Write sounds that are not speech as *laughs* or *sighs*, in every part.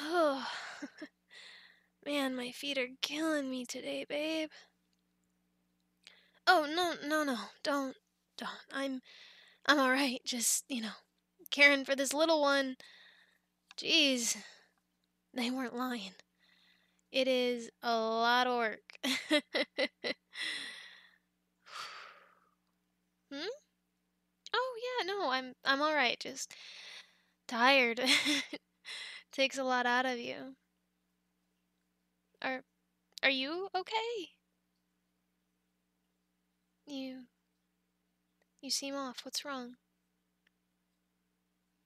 Oh, *laughs* man, my feet are killing me today, babe. Oh, no, no, no, don't, don't. I'm, I'm all right. Just, you know, caring for this little one. Jeez, they weren't lying. It is a lot of work. *laughs* hmm? Oh yeah, no, I'm I'm all right. Just tired. *laughs* Takes a lot out of you. Are are you okay? You you seem off. What's wrong?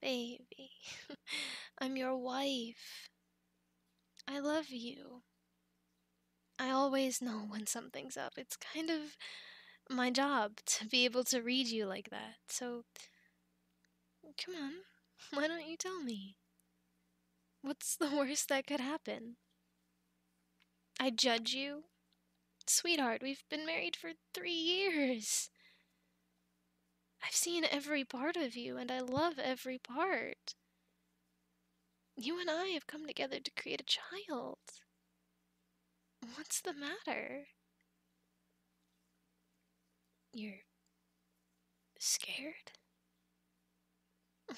Baby, *laughs* I'm your wife. I love you. I always know when something's up. It's kind of my job to be able to read you like that. So, come on, *laughs* why don't you tell me? What's the worst that could happen? I judge you? Sweetheart, we've been married for three years. I've seen every part of you, and I love every part. You and I have come together to create a child. What's the matter? You're scared?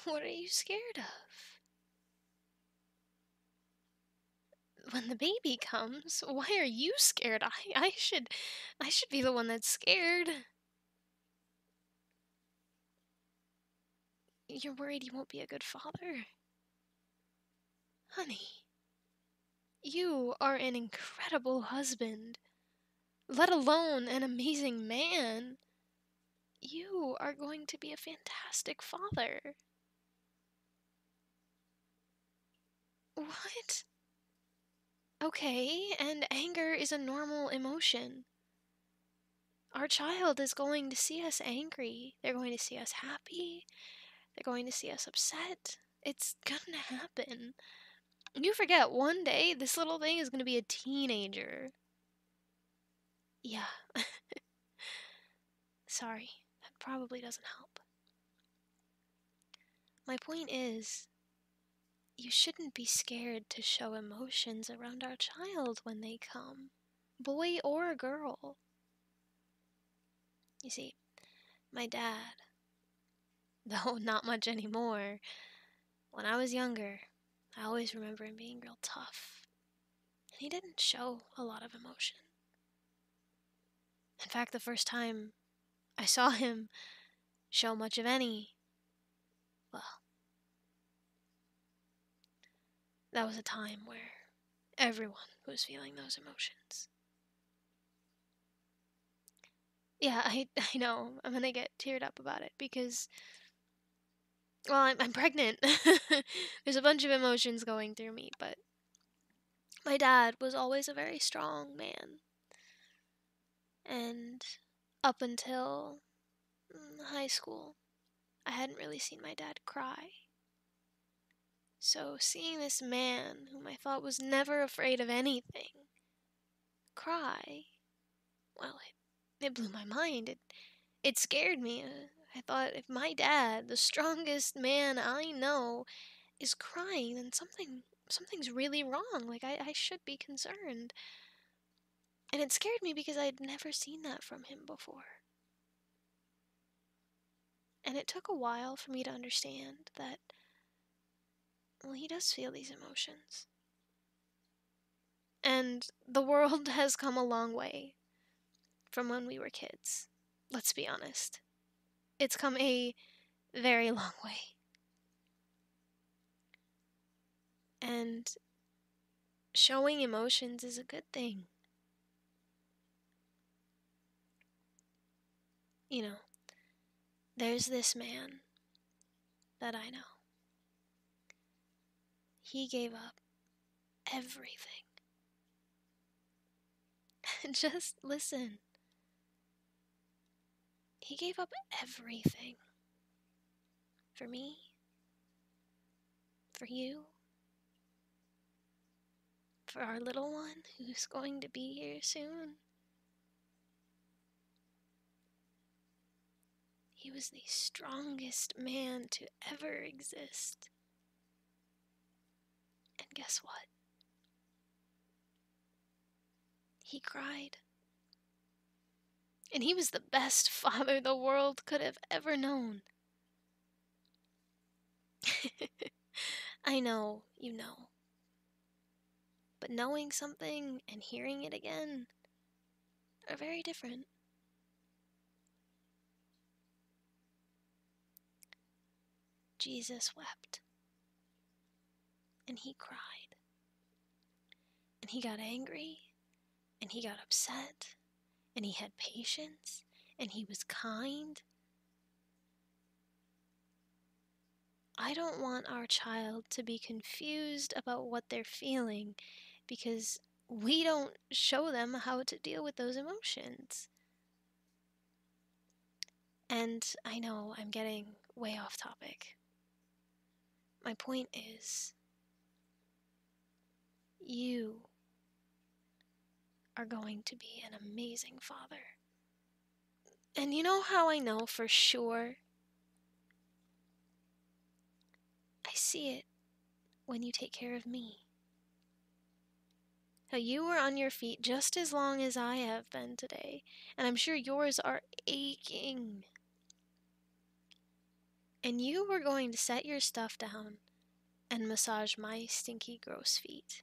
What are you scared of? When the baby comes, why are you scared? I I should I should be the one that's scared. You're worried he won't be a good father? Honey, you are an incredible husband, let alone an amazing man. You are going to be a fantastic father. What? Okay, and anger is a normal emotion our child is going to see us angry. They're going to see us happy. They're going to see us upset. It's gonna happen. You forget one day this little thing is gonna be a teenager. Yeah. *laughs* Sorry, that probably doesn't help. My point is, you shouldn't be scared to show emotions around our child when they come boy or a girl. You see, my dad, *laughs* though not much anymore, when I was younger, I always remember him being real tough. And he didn't show a lot of emotion. In fact, the first time I saw *laughs* him show much of any, well, that was a time where everyone was feeling those emotions. Yeah, I, *laughs* I know. I'm going to get teared up about it because, well, I'm, I'm pregnant. *laughs* There's a bunch of emotions going through me, but my dad was always a very strong man. And up until Mm, high school, I hadn't really seen my dad cry. So seeing this man, whom I thought was never afraid of anything, cry, well, it, it blew my mind. It, it scared me. Uh, I thought if my dad, the strongest man I know, is crying, then something something's really wrong. Like I, I should be concerned. And it scared me because I had never seen that from him before. And it took a while for me to understand that, well, he does feel these emotions. And the world *laughs* has come a long way from when we were kids. Let's be honest. It's come a very *laughs* long way. And showing emotions is a good thing. You know, there's this man that I know. He gave up everything. *laughs* Just listen. He gave up everything for me? For you? For our little one who's going to be here soon? He was the strongest man to ever exist. And guess what? He cried and he was the best *laughs* father the world could have ever known. *laughs* I know, you know. But knowing something and hearing it again are very different. Jesus wept. And he cried. And he got angry and he got upset and he had patience and he was kind. I don't want our child to be confused about what they're feeling because we don't show them how to deal with those emotions. And I know I'm getting way off topic, my point is, you are going to be an amazing father. And you know how I know for sure? I see it when you take care of me. Now, you were on your feet just as long as I have been today, and I'm sure yours are aching. And you were going to set your stuff down and massage my stinky, gross feet.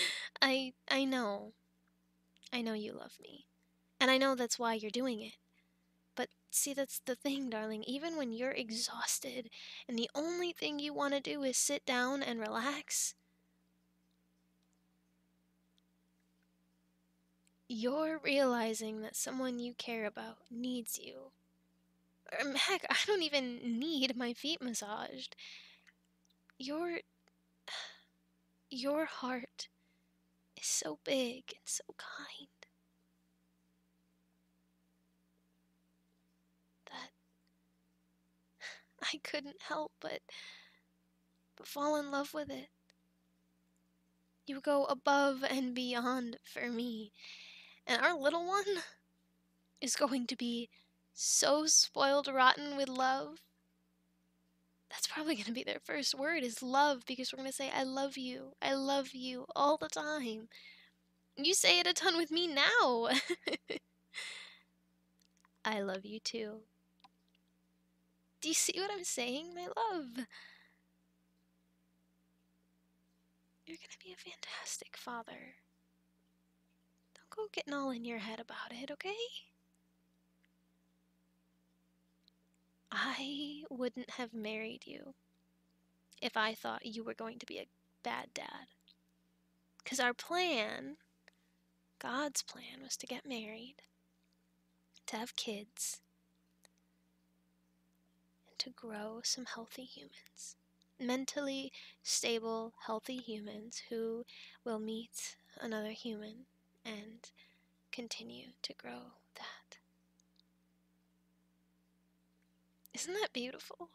*laughs* I I know. I know you love me. And I know that's why you're doing it. But see that's the thing, darling. Even when you're exhausted and the only thing you want to do is sit down and relax, you're realizing that someone you care about needs you. Or, *laughs* heck, I don't even need my feet massaged. Your. *sighs* Your heart is so big and so kind. That I couldn't help but but fall in love with it. You go above and beyond for me. And our little one is going to be so spoiled rotten with love. That's probably going to be their first word is love because we're going to say I love you. I love you all the time. You say it a ton with me now. *laughs* I love you too. Do you see what I'm saying, my love? You're gonna be a fantastic father. Don't go getting all in your head about it, okay? I wouldn't have married you if I thought you were going to be a bad dad. Because our plan, God's plan, was to get married, to have kids, and to grow some healthy humans. Mentally stable, healthy humans who will meet another human and continue to grow that. Isn't that beautiful?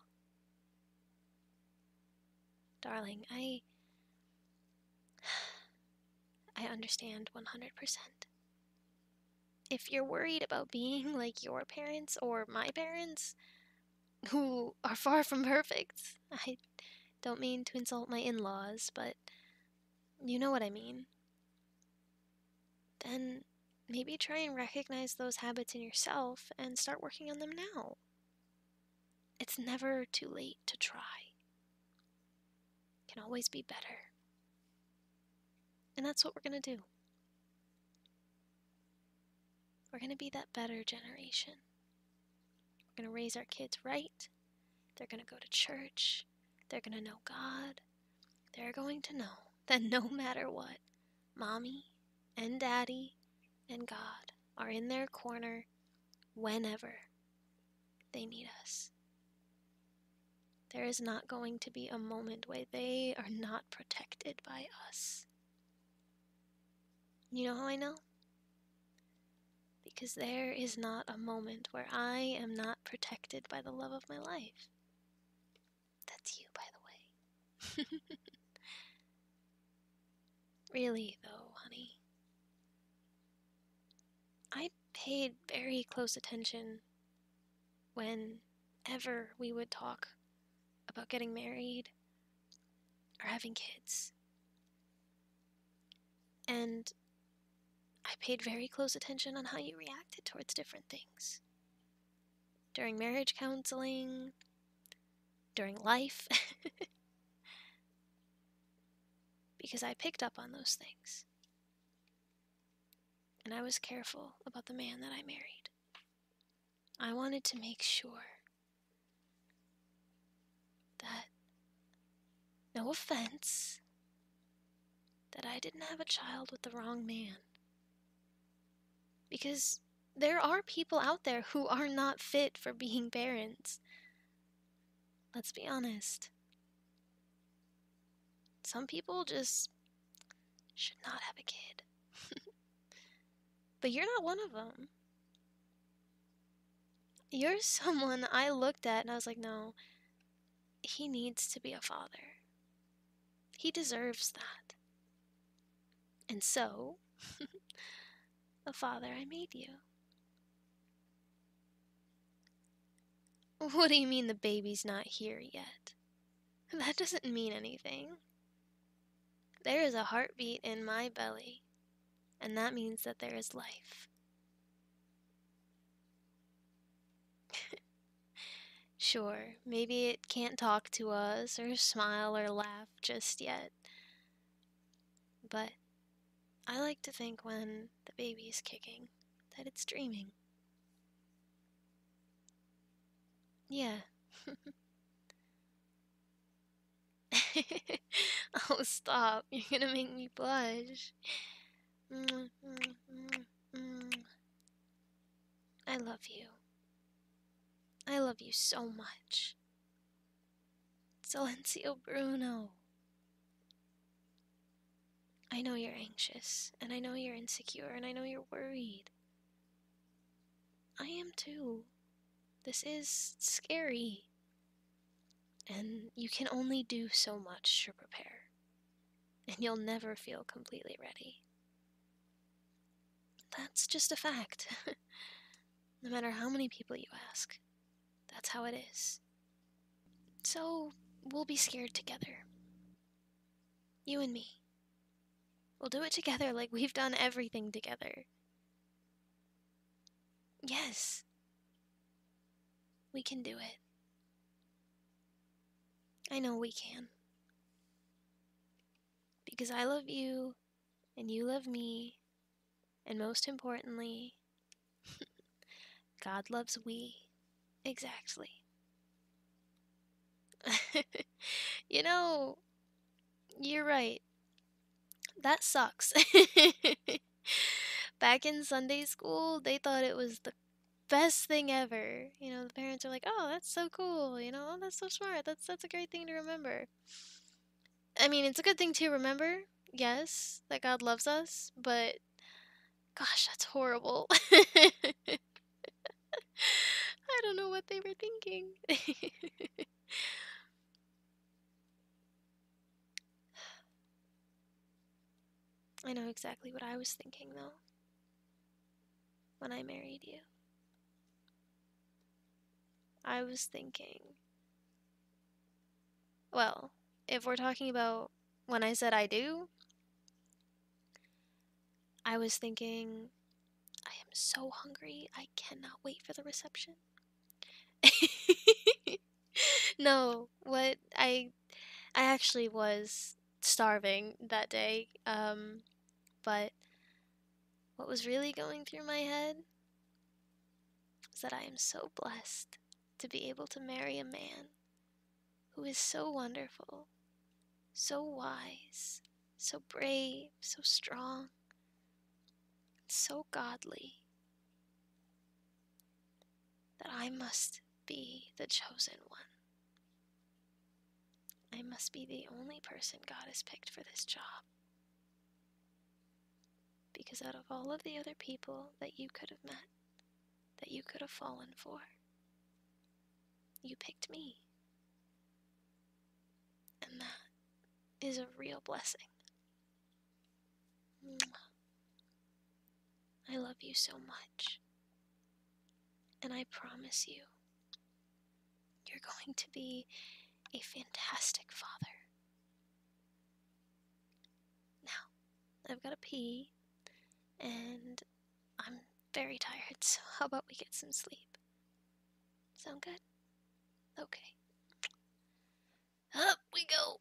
Darling, I. *sighs* I understand 100%. If you're worried about being *laughs* like your parents or my parents, who are far from perfect, I don't mean to insult my in laws, but you know what I mean, then maybe try and recognize those habits in yourself and start working on them now. It's never too late to try. Can always be better. And that's what we're going to do. We're going to be that better generation. We're going to raise our kids right. They're going to go to church. They're going to know God. They're going to know *laughs* that no matter what, Mommy and Daddy and God are in their corner whenever they need us. There is not going to be a moment where they are not protected by us. You know how I know? Because there is not a moment where I am not protected by the love of my life. That's you, by the way. *laughs* really, though, honey. I paid very close attention whenever we would talk about getting married or having kids. And I paid very close attention on how you reacted towards different things during marriage counseling, during life, *laughs* because I picked up on those things. And I was careful about the man that I married. I wanted to make sure that, no offense, that I didn't have a child with the wrong man. Because there are people out there who are not fit for being parents. Let's be honest. Some people just should not have a kid. *laughs* but you're not one of them. You're *laughs* someone I looked at and I was like, no, he needs to be a father. He deserves that. And so, *laughs* the father I made you. What do you mean the baby's not here yet? That doesn't mean anything. There is a heartbeat in my belly, and that means that there is life. *laughs* Sure, maybe it can't talk to us or smile or laugh just yet. But I like to think when the baby's kicking that it's dreaming. Yeah. *laughs* oh, stop. You're gonna make me blush. Mm, mm, mm, I love you. I love you so much. Silencio Bruno. I know you're anxious, and I know you're insecure, and I know you're worried. I am too. This is scary. And you can only do so much to prepare. And you'll never feel completely ready. That's just a fact. *laughs* no matter how many people you ask, that's how it is. So, we'll be scared together. You and me. We'll do it together *laughs* like we've done everything together. Yes. We can do it. I know we can. Because I love you, and you love me, and most importantly, *laughs* God loves we. Exactly. *laughs* you know, you're right. That sucks. *laughs* Back in Sunday school, they thought it was the best thing ever. You know, the parents are like, "Oh, that's so cool." You know, oh, that's so smart. That's that's a great thing to remember. I mean, it's a good thing to remember. Yes, that God loves us, but gosh, that's horrible. *laughs* I don't know what they were thinking. *sighs* I know exactly what I was thinking, though when I married you. I was thinking, well, if we're talking about when I said I do, I was thinking, I am so hungry, I cannot wait for the reception. *laughs* no, what I um, I actually was starving that day. Um, but what was really going through my head was that I am so blessed to be able to marry a man who is so wonderful, so wise, so brave, so strong, so godly that I must be the chosen one. I must be the only person God has picked for this job. Because out of all of the other people that you could have met, that you could have fallen for, you picked me. And that is a real blessing. I love you so much. And I promise you, you're going to be a fantastic father. Now, I've got to pee, and I'm very tired, *laughs* so how about we get some sleep? Sound good? Okay. Up we go!